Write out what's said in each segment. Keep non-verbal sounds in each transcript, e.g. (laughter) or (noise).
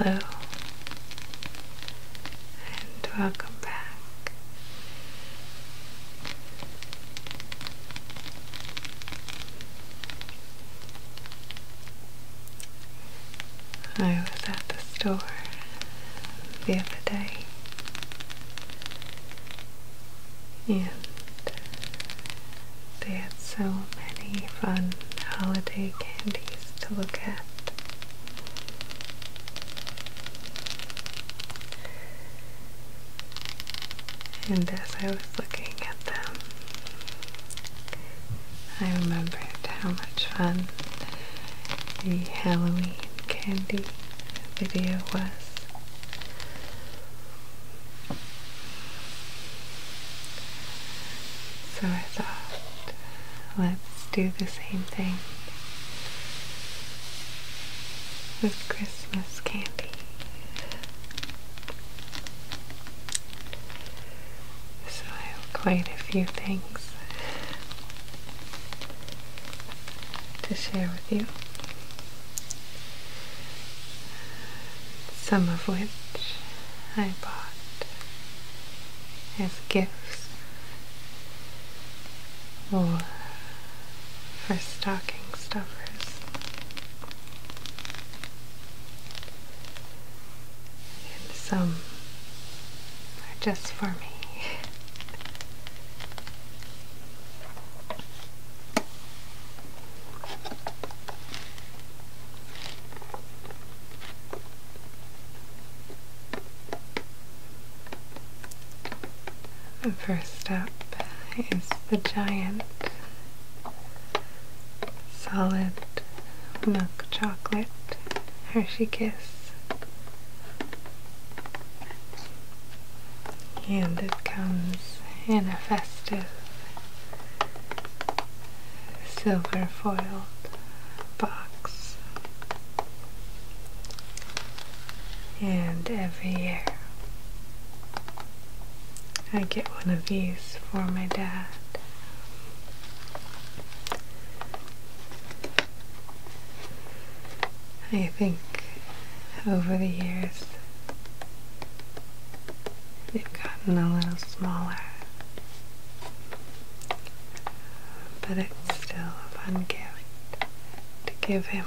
Hello, and welcome back. I was at the store the other day and they had so many fun holiday candies to look at. And as I was looking at them, I remembered how much fun the Halloween candy video was. So I thought, let's do the same thing with Christmas candy. So I have quite a few things to share with you. Some of which I bought as gifts or for stocking stuffers and some are just for me. The First up is the giant solid milk chocolate Hershey Kiss. And it comes in a festive silver foil box. And every year I get one of these for my dad. I think over the years they've gotten a little smaller, but it's still a fun gift to give him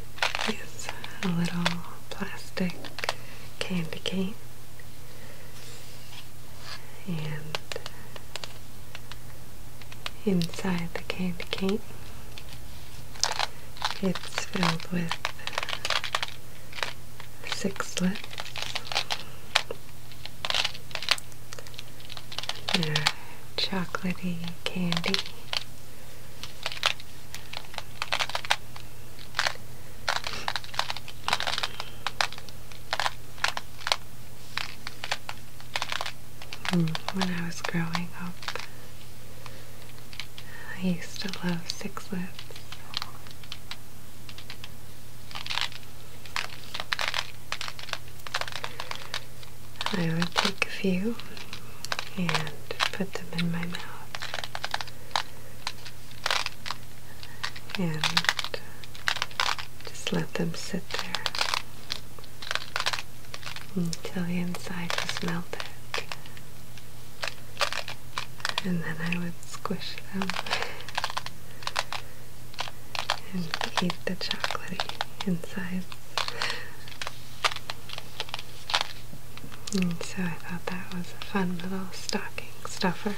it's a little plastic candy cane and inside the candy cane it's filled with six lips. There chocolatey candy. Mm, when I was growing up, I used to love Six Lips. I would take a few and put them in my mouth and just let them sit there until the inside just melted. And then I would squish them (laughs) and eat the chocolatey inside so I thought that was a fun little stocking stuffer.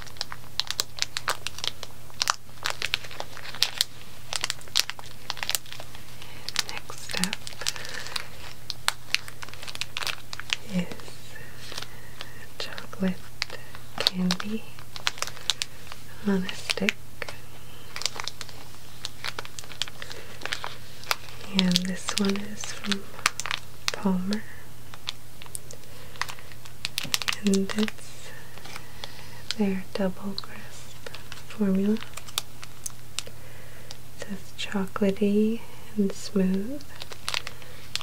Next up is chocolate candy on a stick. And this one is from Palmer and it's their double crisp formula. It's says chocolatey and smooth,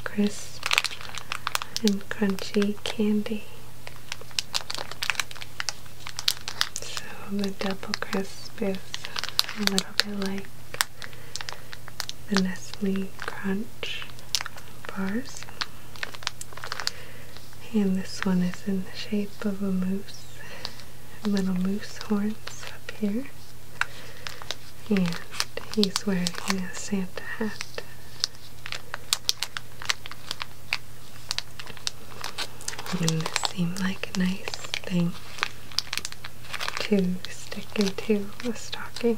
crisp and crunchy candy. So the double crisp is a little bit like the Nestle Crunch bars. And this one is in the shape of a moose, little moose horns up here. And he's wearing a Santa hat. And this seemed like a nice thing to stick into a stocking.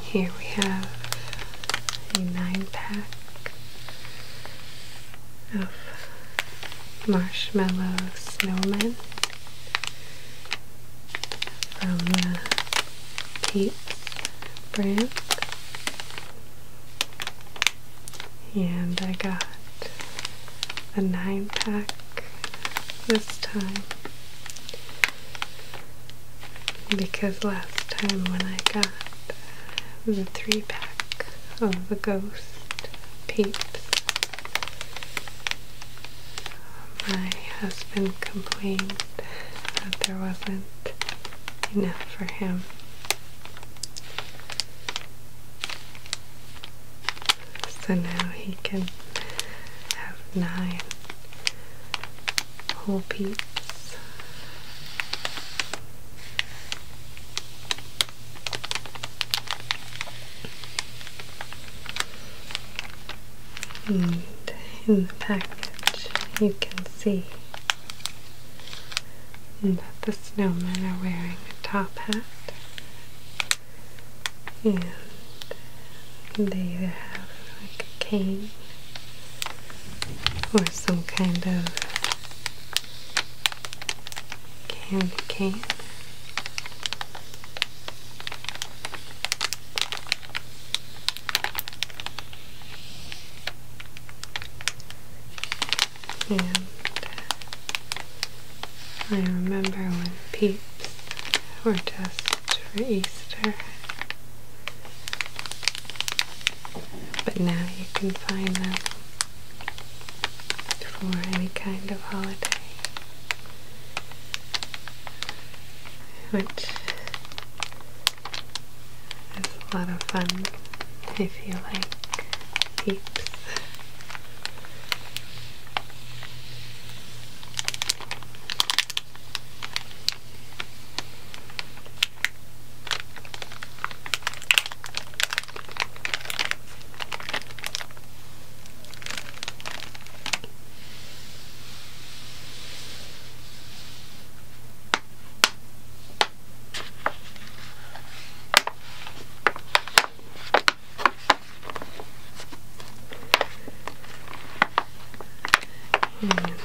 here we have a nine pack of marshmallow snowmen from the Pete's brand. And I got a nine pack this time because last time when I got the three pack of the Ghost Peeps, my husband complained that there wasn't enough for him. So now he can have nine whole peeps. And in the packet you can see that the snowmen are wearing a top hat and they have like a cane or some kind of candy cane. And I remember when peeps were just for Easter. But now you can find them for any kind of holiday. Which it's a lot of fun if you like peeps. And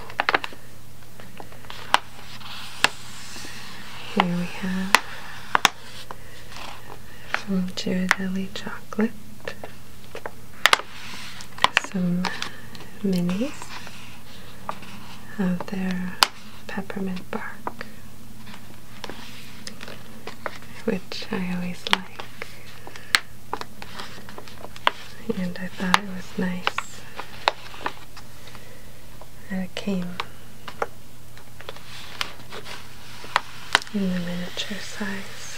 here we have from Ghirardelli chocolate some minis of their peppermint bark, which I always like, and I thought it was nice that it came in the miniature size.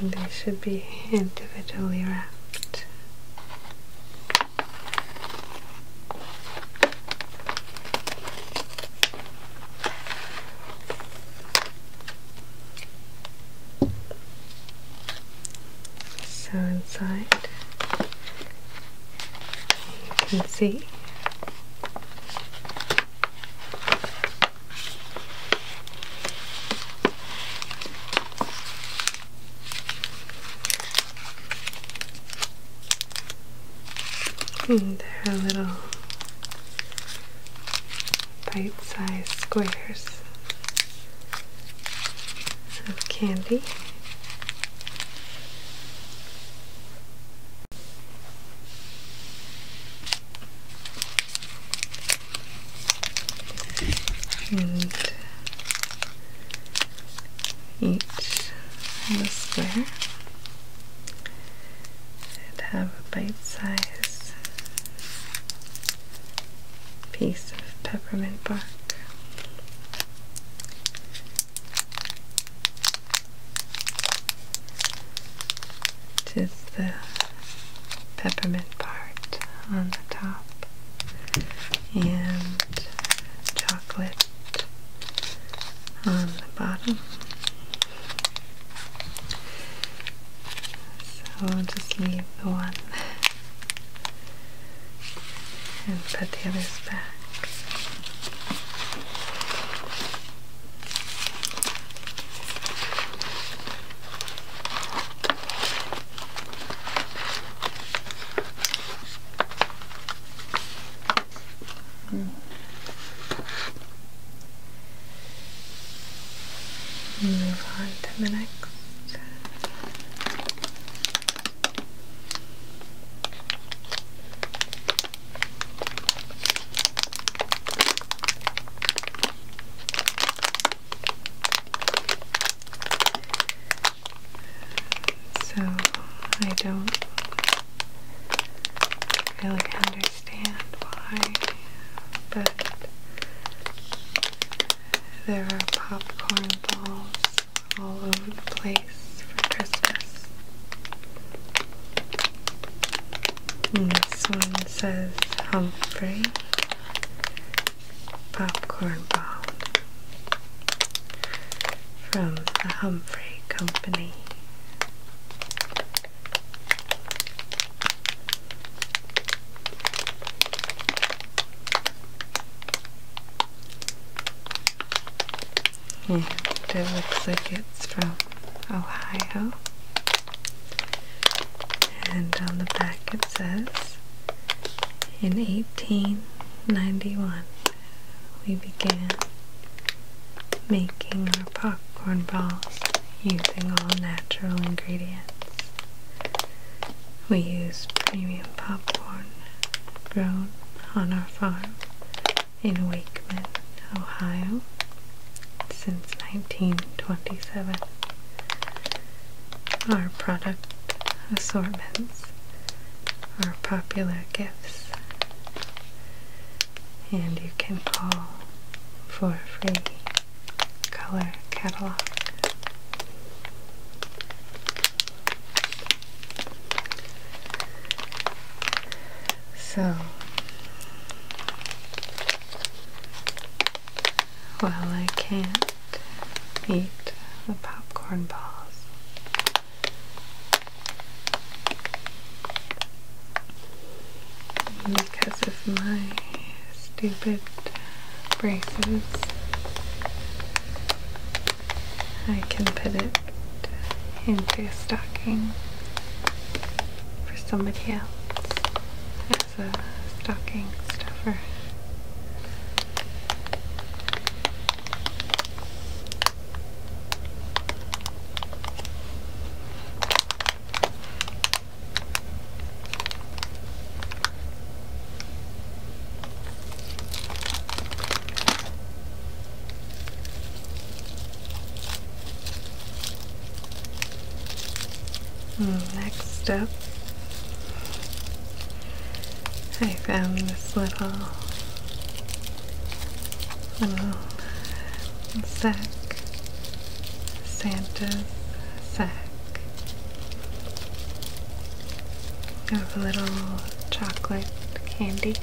they should be individually wrapped. So inside you can see and hmm, there are little bite-sized squares of candy and each in the square and have a bite-sized piece of peppermint bark. Which the peppermint part on the top and chocolate on the bottom. So I'll just leave the one and put the others back. Mm. Move on to the next. So I don't really understand why, but there are popcorn balls all over the place for Christmas. And this one says Humphrey popcorn ball from the Humphrey Company. And it looks like it's from Ohio. And on the back says, in 1891, we began making our popcorn balls using all natural ingredients. We use premium popcorn grown on our farm in Wakeman, Ohio since 1927. Our product assortments, our popular gifts, and you can call for a free color catalog. So well, I can't eat the popcorn balls. Because of my stupid braces, I can put it into a stocking for somebody else is a stocking stuffer. Hmm, next up I found this little little sack, Santa's sack of little chocolate candy,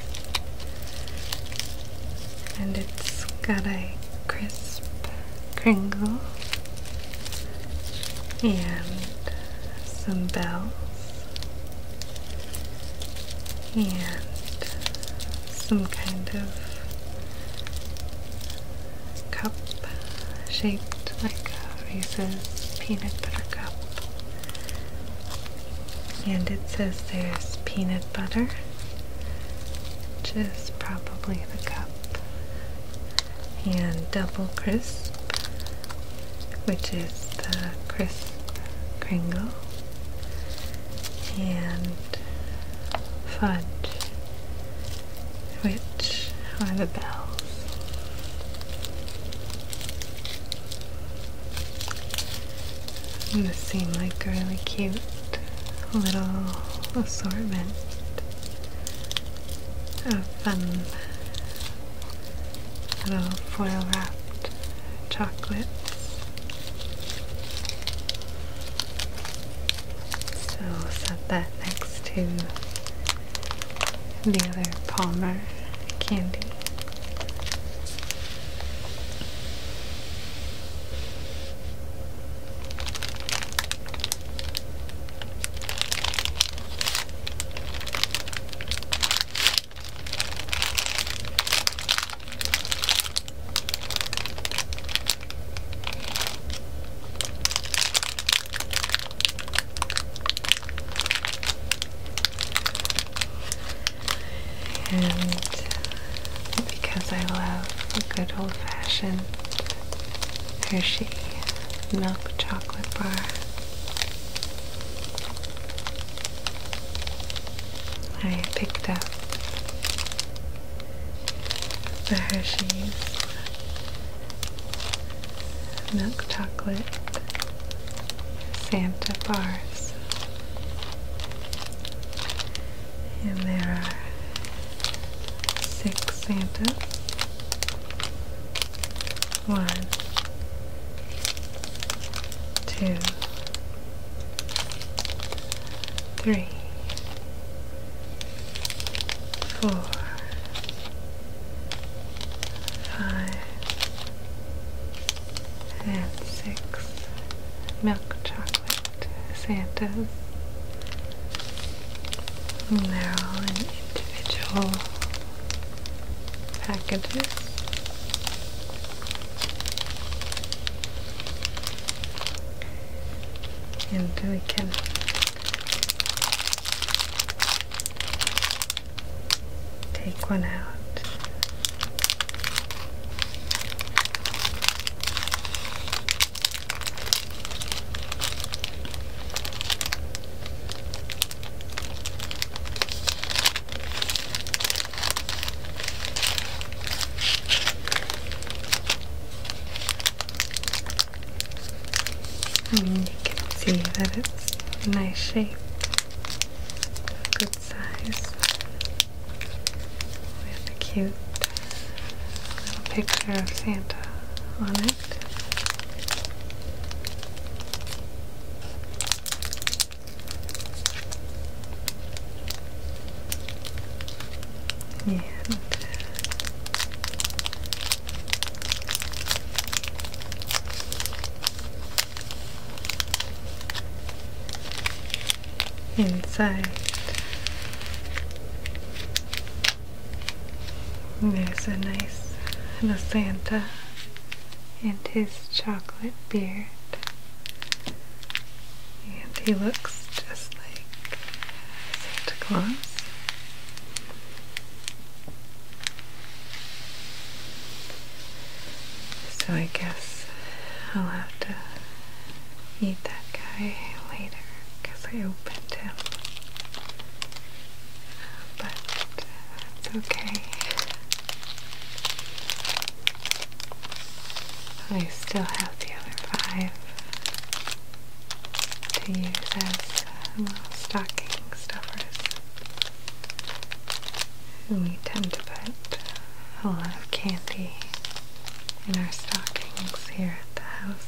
and it's got a crisp Kringle and some bells and some kind of cup shaped like a Reese's peanut butter cup. And it says there's peanut butter, which is probably the cup and double crisp, which is the crisp crinkle, and fudge, which are the bells. And this seemed like a really cute little assortment a fun little foil wrapped chocolate. So set that next to the other Palmer candy. And because I love a good old fashioned Hershey milk chocolate bar. I picked up the Hershey milk chocolate Santa bars. And there are six Santas. One, two, three, four, five, and six milk chocolate Santas and they're all in individual packages. And we can take one out. I mean, you can see that it's a nice shape, good size, with a cute little picture of Santa on it. And inside there's a nice little Santa and his chocolate beard. And he looks just like Santa Claus. So I guess I'll have to eat that guy later because I opened him. But uh, it's okay. I still have the other five to use as uh, little stocking stuffers. We tend to put a lot of candy in our stockings here at the house.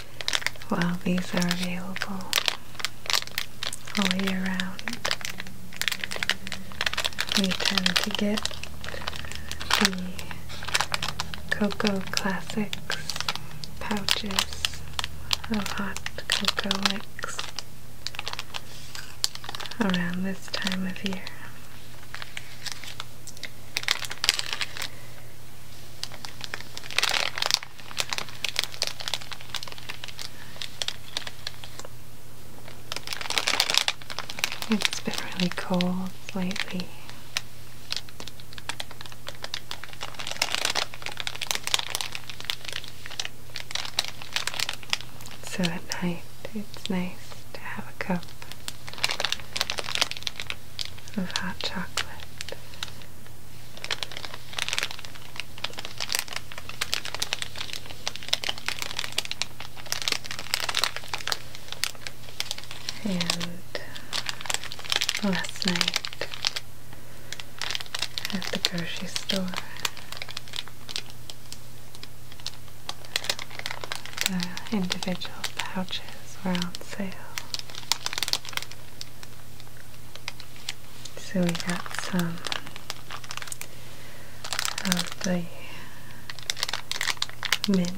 While these are available all year round. We tend to get the Cocoa Classics pouches of hot cocoa mix around this time of year. It's been really cold lately. So at night, it's nice to have a cup of hot chocolate. And last night at the grocery store, the individual pouches were on sale. So we got some of the mint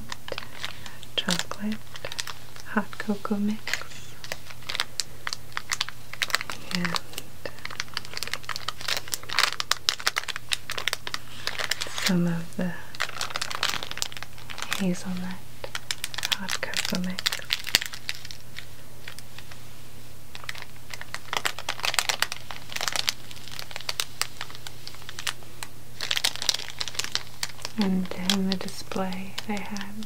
chocolate hot cocoa mix and some of the hazelnut and in the display they had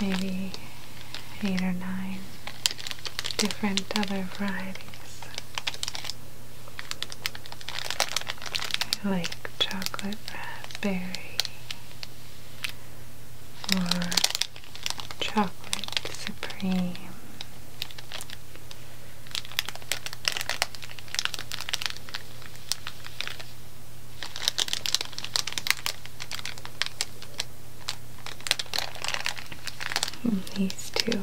maybe eight or nine different other varieties like chocolate raspberry or chocolate supreme. these two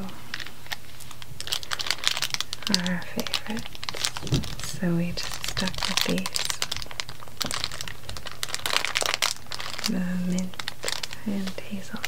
are our favorites so we just stuck with these the mint and hazelnut.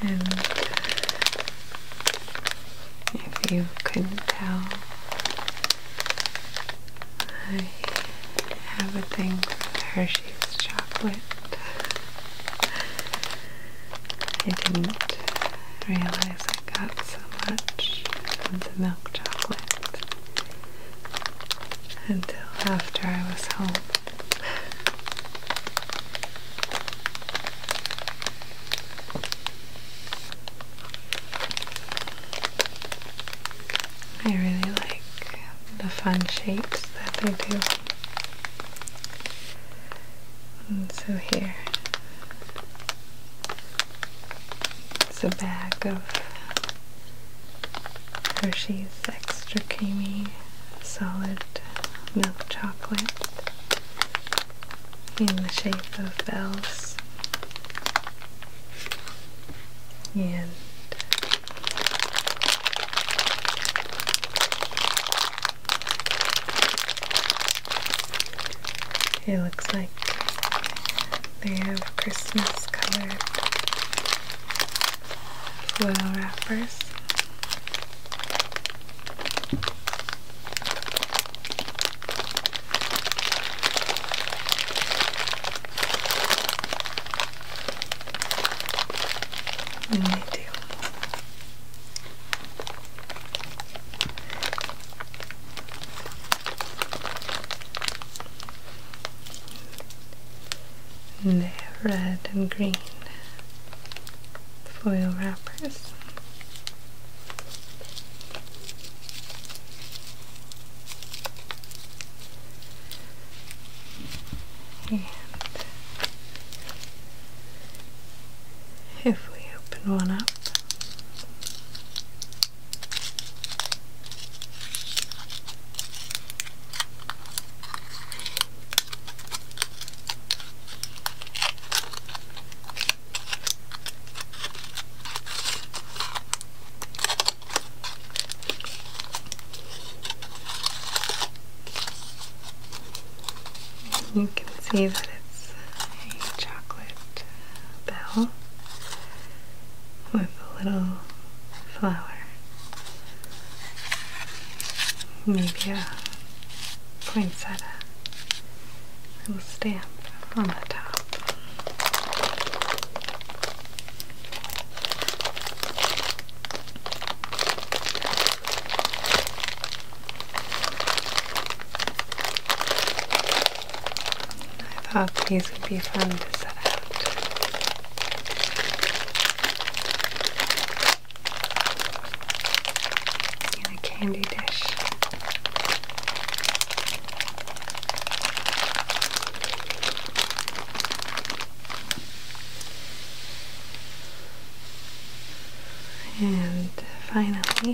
And if you couldn't tell, I have a thing for Hershey's chocolate. I didn't realize realize I got so much of the milk chocolate until after I was home. I really like the fun shapes that they do. so here it's a bag of Hershey's extra creamy solid milk chocolate in the shape of bells. And it looks like they have Christmas colored foil wrappers. And they do and they have red and green foil wrappers. And if we open one up, you can see that a chocolate bell with a little flower. Maybe a poinsettia. Little stamp on the top. I thought these would be fun to set out. In a candy dish. And finally,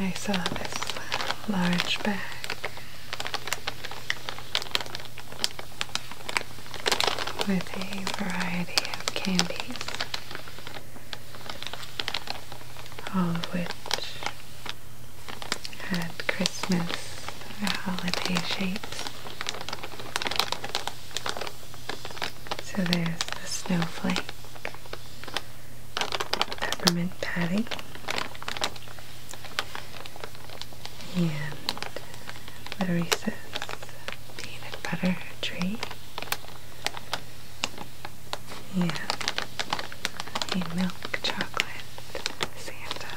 I saw this large bag. With a variety of candies, all of which had Christmas or holiday shapes. So there's the snowflake, peppermint patty, and the Reese's peanut butter tree, and a milk chocolate Santa.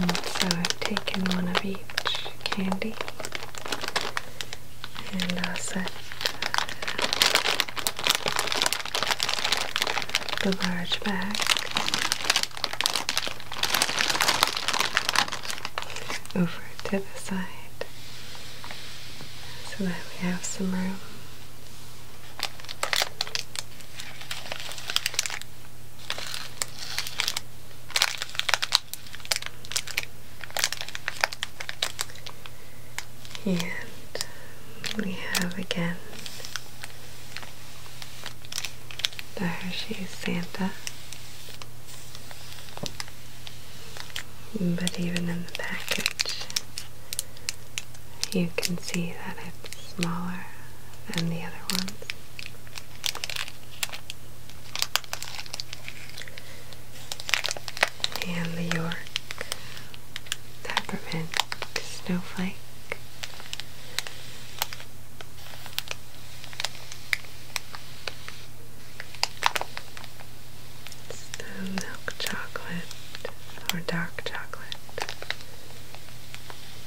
And so I've taken one of each candy and I'll set the large bag. Over to the side so that we have some room. And we have again the Hershey's Santa. But even in the package, you can see that it's smaller than the other ones and the York Peppermint Snowflake. the milk chocolate or dark chocolate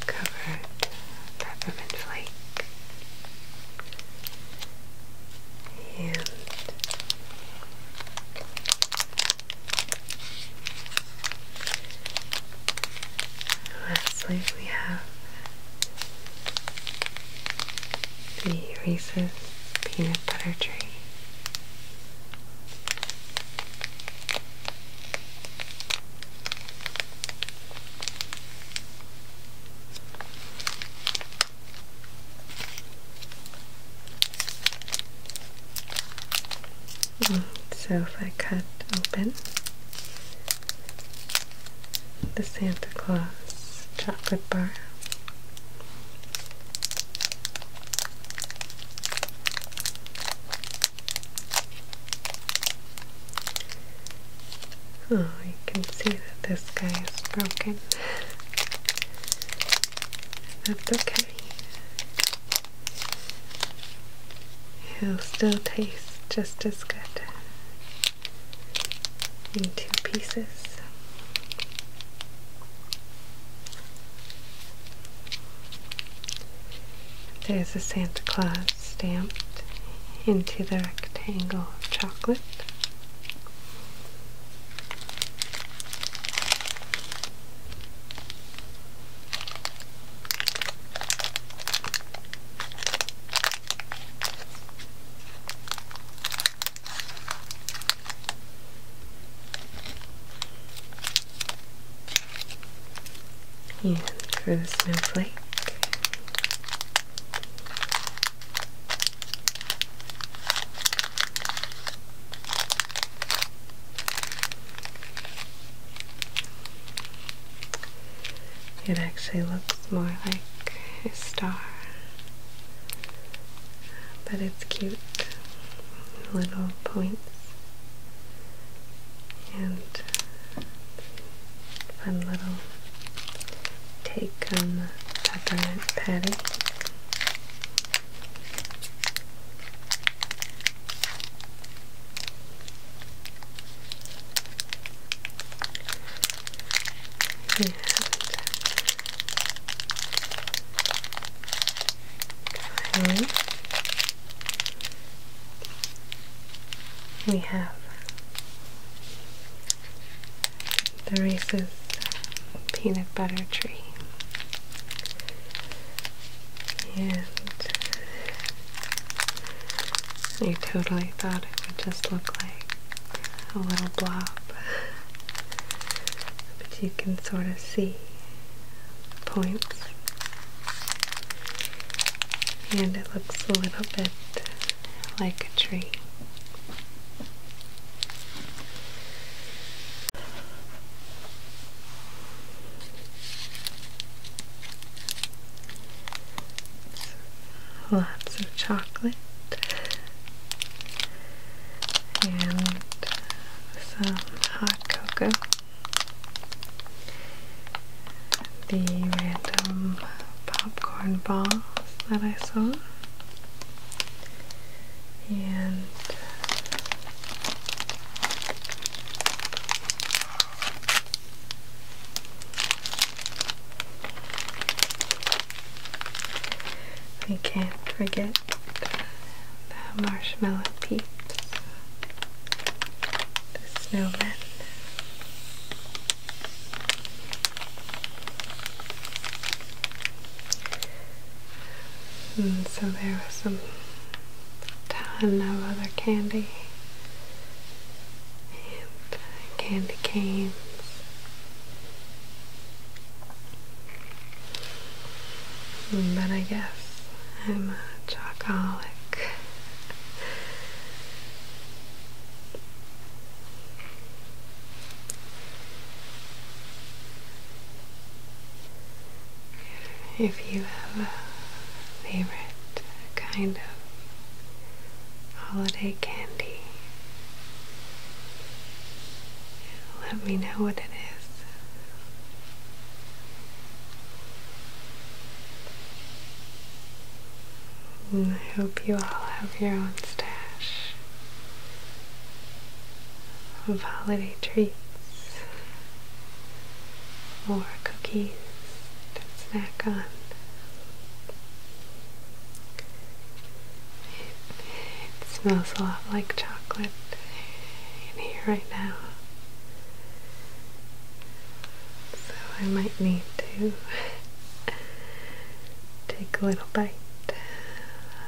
covered peppermint flake and lastly we have the Reese's peanut butter tree so if I cut open the Santa Claus chocolate bar. Oh, you can see that this guy is broken. That's okay. He'll still taste just as good in two pieces. There's a Santa Claus stamped into the rectangle of chocolate. Yeah, for the snowflake, it actually looks more like a star, but it's cute little points and Fun little take-home peppermint patty. And we have the Reese's peanut butter tree. And I totally thought it would just look like a little blob. But you can sort of see points. And it looks a little bit like a tree. Lots of chocolate and some hot cocoa the random popcorn balls that I saw. And we can't forget the marshmallow peeps, the snowmen. And so there was some ton of other candy and candy canes. But I guess I'm a chocoholic. If you have a favorite kind of holiday candy, let me know what it is. I hope you all have your own stash of holiday treats or cookies to snack on. it smells a lot like chocolate in here right now. So I might need to Take a little bite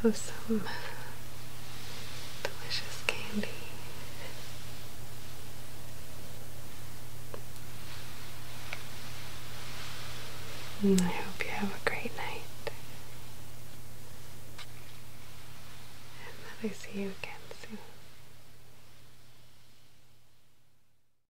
of some delicious candy. I hope you have a great night. And that I see you again soon.